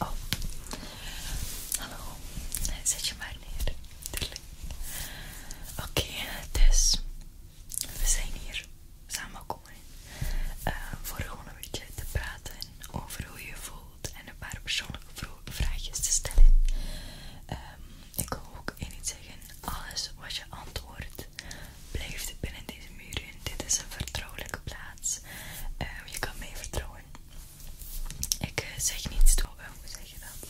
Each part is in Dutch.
Oh, hallo. Eh, zet je maar neer. Oké, dus we zijn hier samen uh, eh, voor gewoon een beetje te praten over hoe je, voelt en een paar persoonlijke vraagjes te stellen. Ehm, ik wil en niet zeggen. Alles wat je antwoordt blijft binnen deze muren. Dit is een vertrouwelijke plaats. Eh, je kan mij vertrouwen. Ik eh, zeg niets toe. Eh, hoe zeg je dat?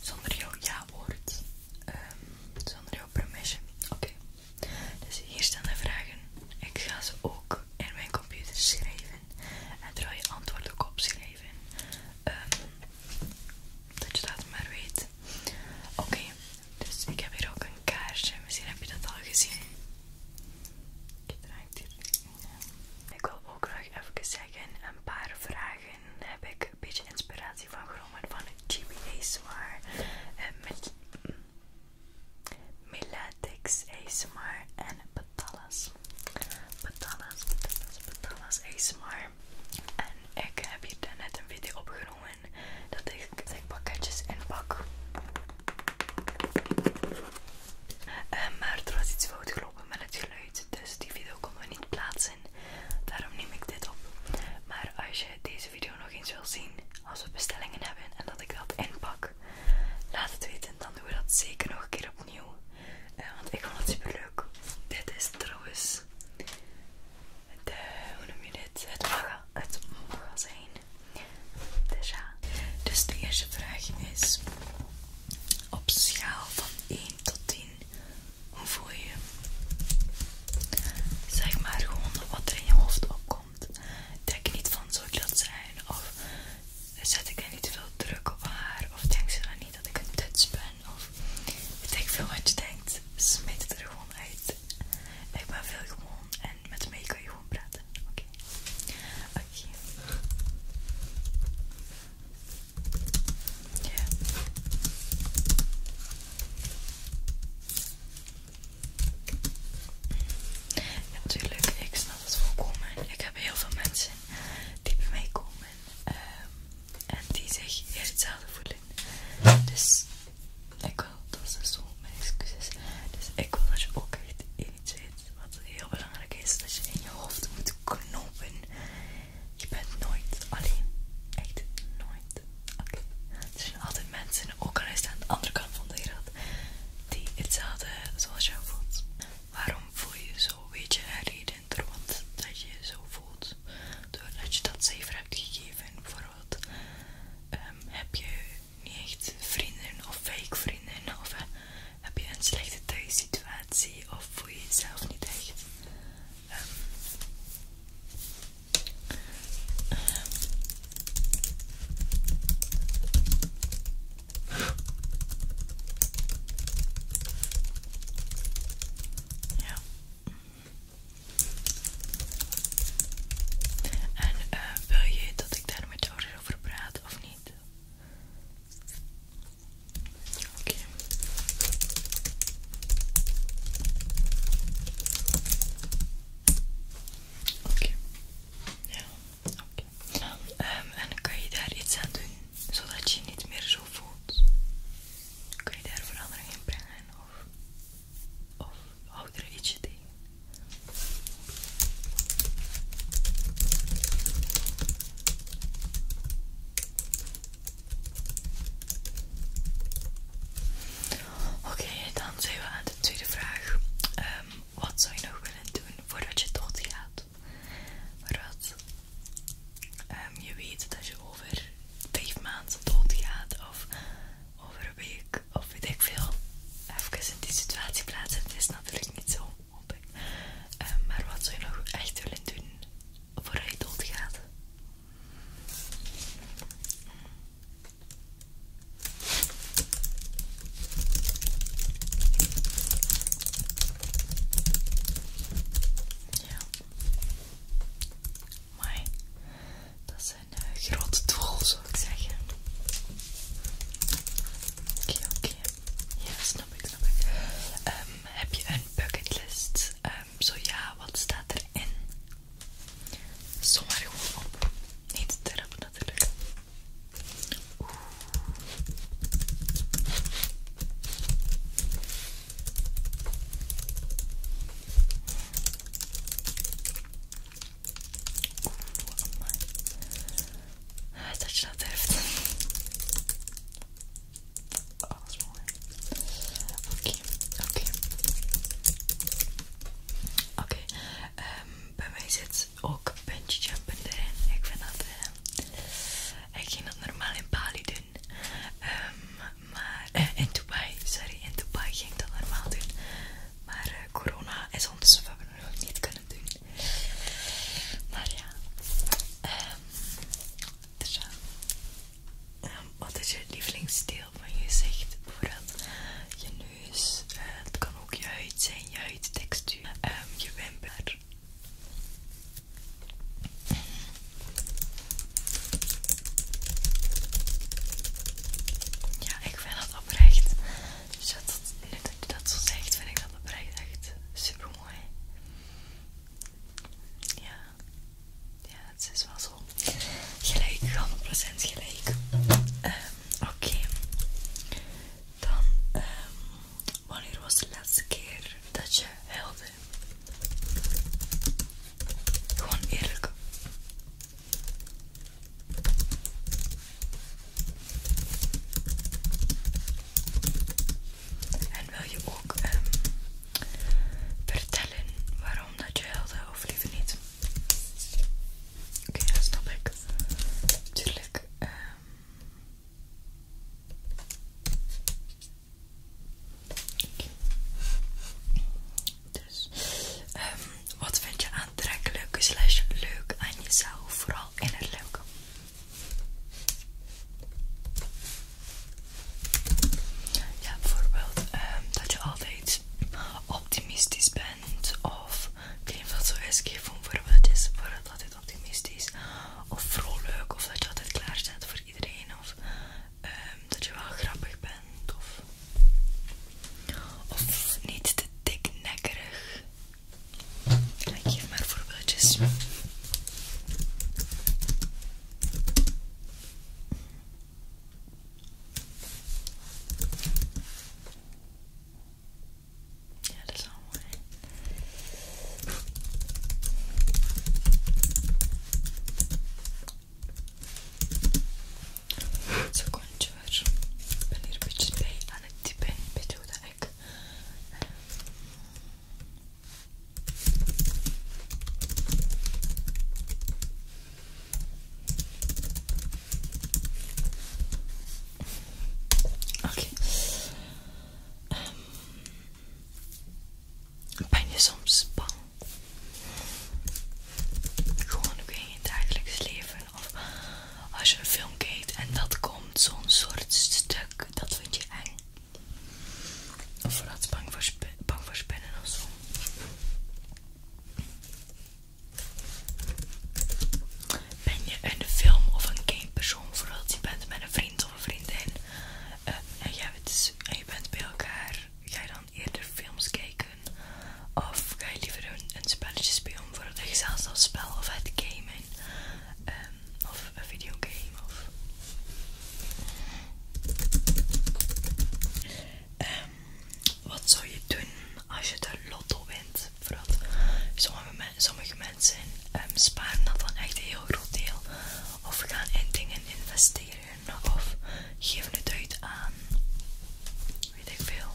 Zonder jouw ja-woord. Ehm, zonder jouw permission. Oké. Dus hier staan de vragen. Ik ga ze ook in mijn computer schrijven. En terwijl je antwoord ook opschrijven. Ehm dat je dat maar weet. Oké, dus ik heb hier ook een kaarsje. Misschien heb je dat al gezien. Ik draai dit Ik wil ook nog even zeggen, een paar vragen heb ik een beetje inspiratie van genomen van GB ASMR. Eh, met Milatex ASMR en patallas is Betalas, ice ASMR. En ik heb hier net een video opgenomen dat ik pakketjes inpak. Eh, maar er was iets fout gelopen met het geluid, dus die video kon er niet plaatsen. Daarom neem ik dit op. Maar als je deze video nog eens wil zien, als we bestellingen hebben en dat ik dat inpak, laat het weten. Dan doen we dat zeker nog een keer opnieuw. Eh, want ik vond het super leuk. Dit is trouwens de, hoe noem je dit? Het mag, het magazijn. Dus ja. Dus de eerste vraag is: op schaal van 1 tot 10, hoe voel je? Zeg maar gewoon wat er in je hoofd opkomt. Denk je niet van zo ik zijn? Of zet ik er niet te veel druk op haar? Of denk ze dan niet dat ik een tuts ben? ik of ik veel wat je denkt, smijt het er gewoon uit. Ik ben veel gewoon en met mij kan je gewoon praten. Oké. Oké. Ja. ja. Natuurlijk, ik snap het volkomen. Ik heb heel veel mensen die bij meekomen. Ehm, en die zich heel hetzelfde voelen. Dus ik wil, dat is zo mijn excuses. Dus ik wil dat je ook echt iets weet wat heel belangrijk is: dat je in je hoofd moet knopen. Je bent nooit alleen. Echt nooit. Oké. Er zijn altijd mensen, ook al is aan de andere kant van de wereld, die hetzelfde zoals jou voelt. Waarom voel je zo? Weet je, Harry, evidenter wat dat je zo voelt. Doordat je dat cijfer hebt gegeven, ehm, heb je niet echt vrienden of fake vrienden of heb je een slechte thuissituatie of voel je jezelf niet echt. Ehm, ehm, ja. En eh, wil je dat ik daar met jou over praat of niet? Oké. Oké. Ja, ehm, en kan je daar iets aan doen, zodat je niet meer voelt, kun je daar verandering in brengen of, of oudere er ietsje tegen. Oké, dan zijn we aan de tweede vraag. Ehm, wat zou je nog willen doen voordat je tot doodgaat? Maar wat, ehm, je weet dat je over vijf maanden doodgaat of over een week of weet ik veel. Even in die situatie plaatsen, het is natuurlijk niet zo, hoop ehm, maar wat zou je nog echt willen doen voor je doodgaat? Ja. Mooi. Dat zijn een eh, grote doel, zou ik zeggen. Oké, oké. Ja, snap ik, snap ik. Ehm, heb je een bucketlist? Ehm, zo ja, wat staat erin? Zomaar gewoon op. Niet te natuurlijk. Oeh. Ah, oh, dat is dat Oké, oké. Oké, ehm, zit ook jumpen erin. Ik vind dat eh, ik ging dat normaal in Bali doen. Ehm, maar, eh, in Dubai, sorry, in Dubai ging ik dat normaal doen. Maar eh, corona is ons, wat we nog niet kunnen doen. Maar ja. Ehm dus ehm, wat is je lievelingsdeel van je gezicht? Bijvoorbeeld je neus, eh, het kan ook je huid zijn, je huidtextuur, ehm, je wimper, ja, ik vind dat oprecht. Dus dat, dat, dat je dat zo zegt, vind ik dat oprecht echt super mooi. Ja, ja, het is wel zo. Gelijk, 100% gelijk. Ehm, oké, dan, ehm wanneer was de laatste keer dat je helde, Gewoon eerlijk. En wil je ook um, vertellen waarom dat je helde of liever niet? Oké, dat snap ik. Natuurlijk. Um, ehm, dus, ehm, wat vind je aantrekkelijk slash leuk aan jezelf, vooral in het leuke? Ja, bijvoorbeeld ehm, dat je altijd optimistisch bent of ik weet niet of zo is, ik geef een optimistisch of vrolijk of dat je altijd klaar staat voor iedereen of ehm, dat je wel grappig bent of, of niet te diknekkerig. Kijk geef maar voorbeeldjes. Ja, dat is allemaal mooi. Zakończyłeś. Ben hier een beetje bij aan het typen. Bedoelde ik. Oké. Okay. Um, ehm, ben je soms bang? Gewoon ook in je dagelijks leven. Of als je een film kijkt en dat komt zo'n soort stuk, dat vind je eng. Of vooral bang voor, spinnen of zo. Ben je een film of een game persoon, vooral dat je bent met een vriend vriendin eh, en, jij bent, dus- je bent bij elkaar, ga je dan eerder films kijken of ga je liever een, spelletje spelen voor je zelfs dat spel of het gamen ehm, of een videogame ehm, wat zou je doen als je de lotto wint? Vooral sommige mensen sommige mensen ehm, sparen dat dan echt een heel groot deel of gaan in dingen investeren of geven het uit aan weet ik veel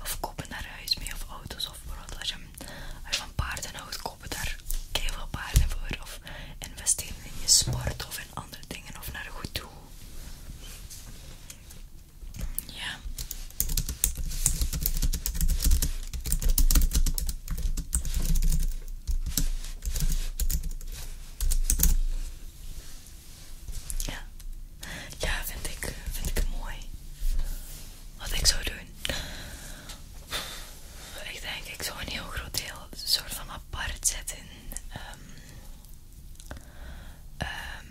of kopen daar huis mee of auto's of wat als je, als je van paarden houdt kopen daar keihard paarden voor of investeren in je sport of in andere dingen of naar goed doel ja ja, ja vind, ik, vind ik mooi. Wat ik zou doen. Ik denk, ik zou een heel groot deel, soort van apart zetten. Ehm, ehm,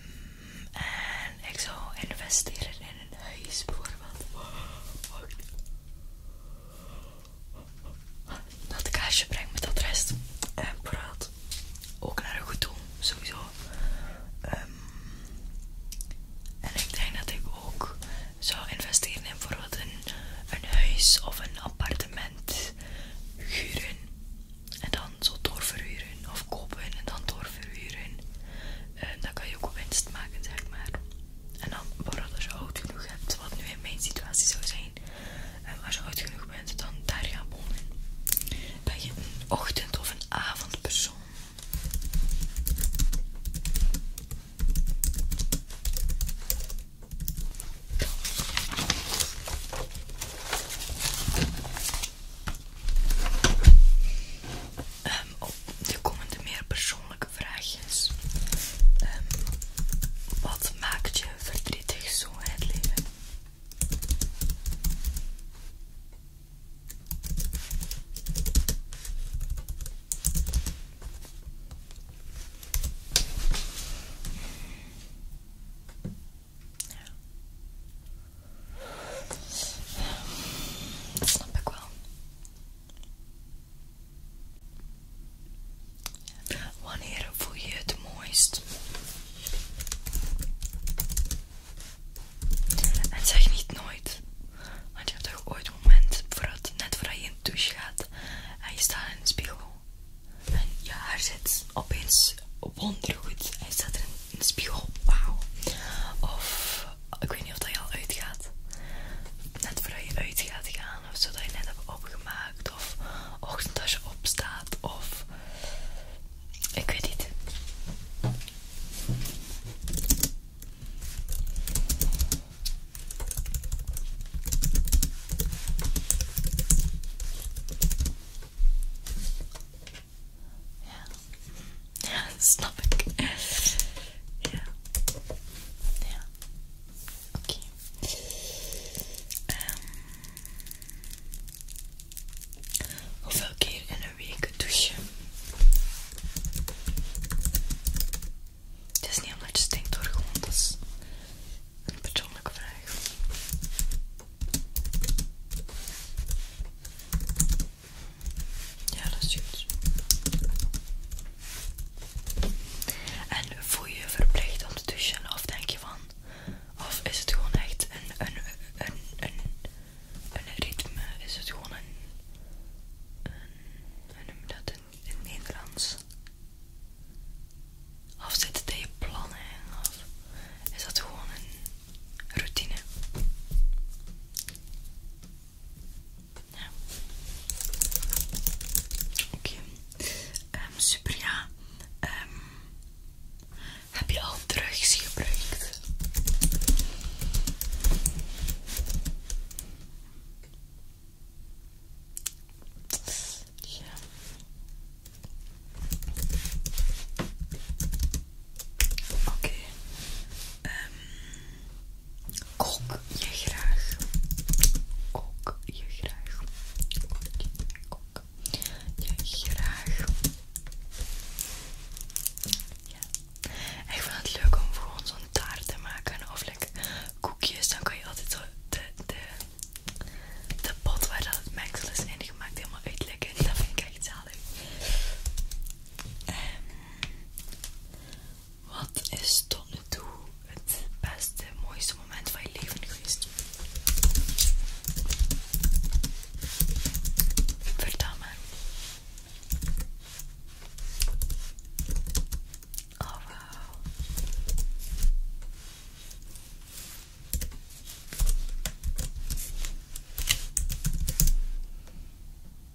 en ik zou investeren in en een huis bijvoorbeeld. Dat kaasje brengt met dat rest. En praat ook naar een goed doel, sowieso. Ehm, en ik denk dat ik ook zou investeren in bijvoorbeeld een, een huis of een appartement huren. En dan zo doorverhuren of kopen en dan doorverhuren. En dan kan je ook winst maken, zeg maar. En dan vooral als je oud genoeg hebt, wat nu in mijn situatie zou zijn. En als je oud genoeg bent, dan daar gaan wonen. Ben je een ochtend- of een avondpersoon? de ehm, oh, komende meer persoonlijke vraagjes. Ehm, wat maakt je verdrietig zo in het leven? Ehm, snap ik wel. Wanneer voel je het mooist? En zeg niet nooit. Want je hebt toch ooit moment voordat, net voordat je in de douche gaat en je staat in de spiegel. En je haar zit opeens wondergoed en je staat er in de spiegel. Wauw. Of ik weet niet of dat je al uitgaat. Net voordat je uit gaat gaan, of zodat je net hebt opgemaakt, of ochtend als je opstaat, of ik weet niet. Ja, dat snap ik. Ja. Ja. Oké. Okay. Ehm, hoeveel keer in een week douchen? Het is niet omdat je stinkt hoor, gewoon dat is een persoonlijke vraag. Ja, dat is goed. En voel je je verplicht om te douchen of denk je van... Of is het gewoon echt een, een, een, een, een ritme? Is het gewoon een... een hoe noem dat in, Nederlands? Of zit het in je plannen? Of is dat gewoon een routine? Ja. Oké. Ehm, ehm, heb je al drugs gebruikt? Ja. Oké. Ehm, kok je graag? kok je graag? kok je graag? Ja. Ik vind het leuk om gewoon zo'n taart te maken of lekker koekjes. Dan kan je altijd de, de, de pot waar dat het mengsel is ingemaakt helemaal uitleggen, Dat vind ik echt zalig. Ehm, wat is tot nu toe het beste, mooiste moment van je leven geweest? Vertel maar. Oh,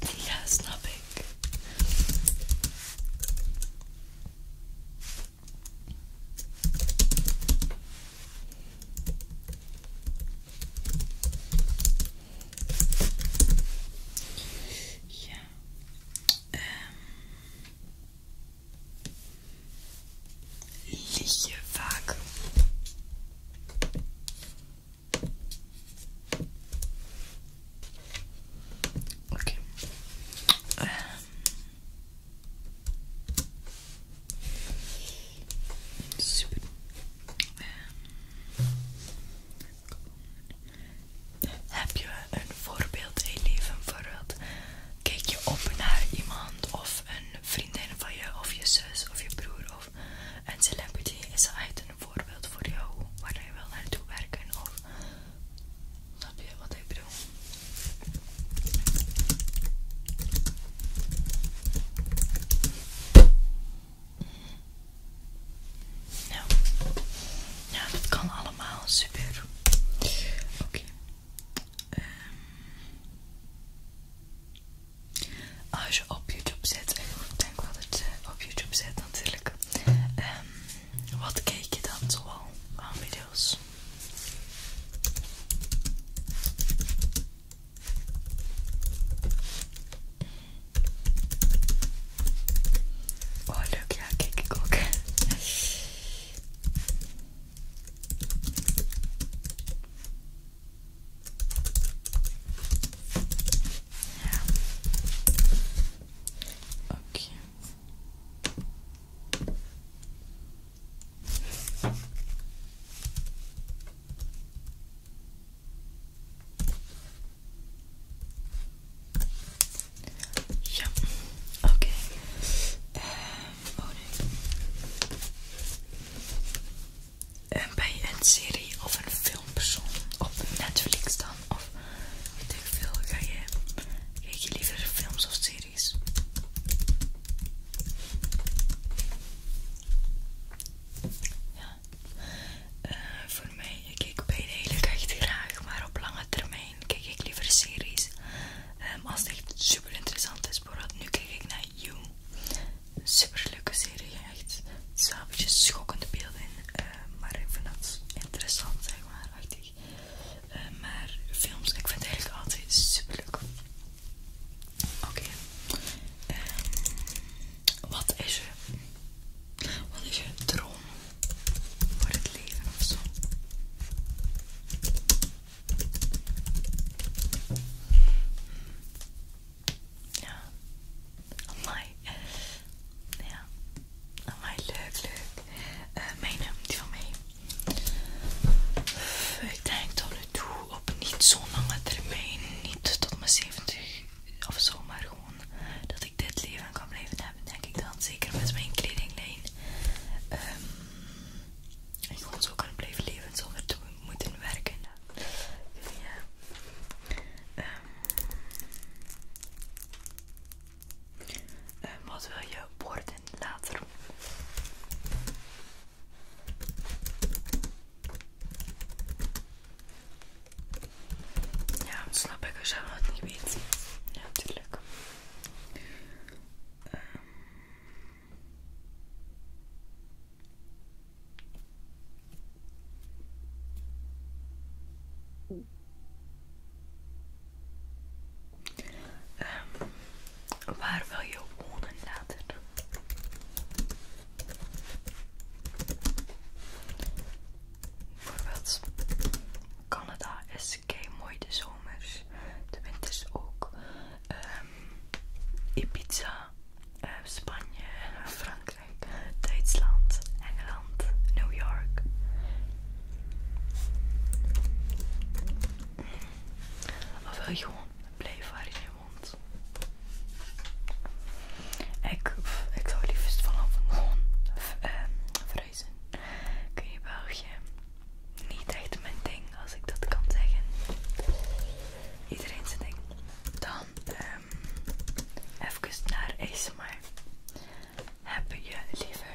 Ja, snap ik. Ja. ehm Um. je vaak. Oké. Ehm, super. Ehm, heb je een voorbeeld in je leven? vooruit? kijk je op naar iemand of een vriendin van je, of je zus, of je broer, of een celebrity is uit een voorbeeld voor jou waar je wil naartoe werken of snap je wat ik bedoel? Nou, ja, nou, dat kan allemaal super. Oké. Ehm, als je op YouTube zit, ik denk dat het op YouTube zet natuurlijk. Um, wat kijk je dan zoal aan video's? Oh leuk, ja kijk ik ook. Ja. Oké. Ja, oké. eh Uh, oh nee. Ehm, een serie of een filmpersoon op Netflix dan? Ik weet ik veel, ga je, kijk je liever films of series? Ja, eh, voor mij, ik kijk beide eigenlijk echt graag, maar op lange termijn kijk ik liever series. Ehm, als het echt super interessant is, bijvoorbeeld nu kijk ik naar You, een super leuke serie echt echt stapeltjes schokkende beelden in, eh, maar ik vind dat interessant, zeg maar, achtig. Eh, maar films, ik vind het eigenlijk altijd super leuk. Oké, ehm, wat is je, wat is je droom voor het leven of zo? Ja. my. Ja. Amai, leuk, leuk. Eh, mijn mijn die van mij. Ik denk tot nu toe op niet zo'n lange termijn. Niet tot mijn 70 of zo, maar gewoon dat ik dit leven kan blijven hebben, denk ik dan. Zeker met mijn kledinglijn. Ehm en gewoon zo kan blijven leven zonder te moeten werken. Ja. Um, um, wat wil je worden later? Ja, snap ik er je dat niet weet. Ja, natuurlijk. Um, ehm, Ehm, waar wil je wonen later? Bijvoorbeeld Canada is kei mooi de zomers, de winters ook. Um, Ibiza, eh, Spanje, Frankrijk. Duitsland, Engeland, New York. Of wil je gewoon blijven waar je mond? Ik, ik zou liefst vanaf gewoon uh, Kun je België? Niet echt mijn ding, als ik dat kan zeggen. Iedereen zijn ding. Dan... eh um, even naar ASMR. Heb je liever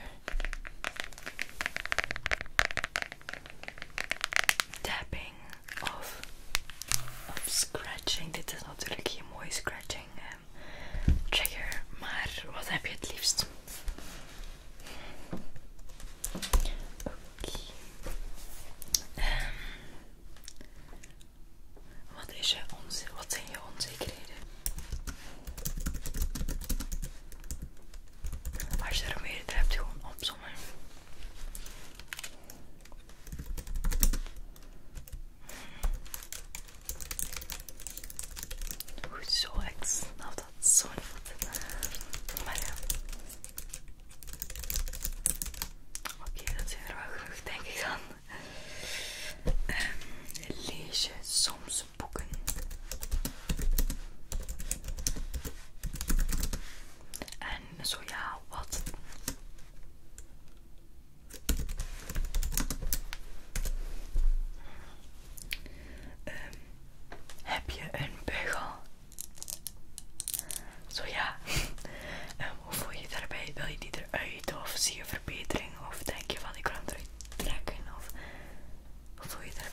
tapping of, scratching? Dit is natuurlijk hier mooie scratching ehm, trigger, maar wat heb je het liefst? Oké. Ehm, wat, zijn je onzekerheden? Als je er meerdere hebt, gewoon opzommen. Goed zo, ik dat zo niet. Maar Oké, dat zijn er wel genoeg, denk ik dan. Ehm, lees je soms boeken? En zo ja, wat? Ehm, heb je een beugel? Zo ja, en ehm, hoe voel je daarbij? Wil je die eruit of zie je verbetering? Of denk je van ik kan hem eruit trekken? Of hoe voel je je daarbij?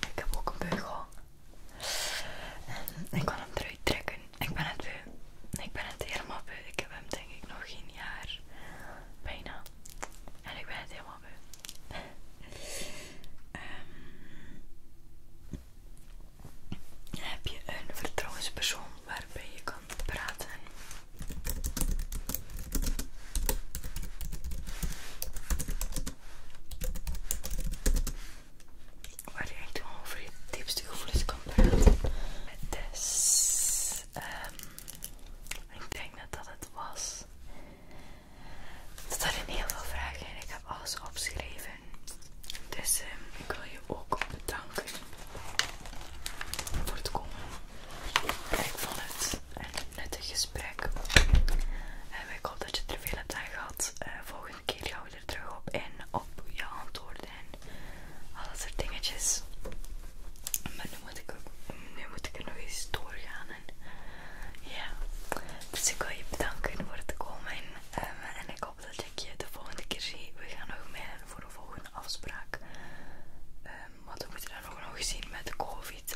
Ik heb ook een beugel. En ik kan hem eruit trekken. Ik ben het beu. Ik ben het helemaal beu. Ik heb hem denk ik nog geen jaar. Bijna. En ik ben het helemaal beu. Ehm, heb je een vertrouwenspersoon waarbij je kan praten? Waar je echt over je diepste gevoelens kan praten. Dus ehm, ik denk dat dat het was. Er zijn heel veel vragen en ik heb alles opgeschreven. Dus ehm, ik wil je ook bedanken voor het komen. Ik vond het een nuttig gesprek. En eh, ik hoop dat je er veel hebt aan gehad. Eh, volgende keer gaan we er terug op in, op je antwoorden en al dat soort dingetjes. Maar nu moet ik, er nog eens doorgaan. En, ja. Dus ik wil je bedanken voor het komen. en ehm, ik hoop dat ik je de volgende keer zie. We gaan nog mailen voor een volgende afspraak. Wat ehm, want we moeten dan nog nog zien met de COVID.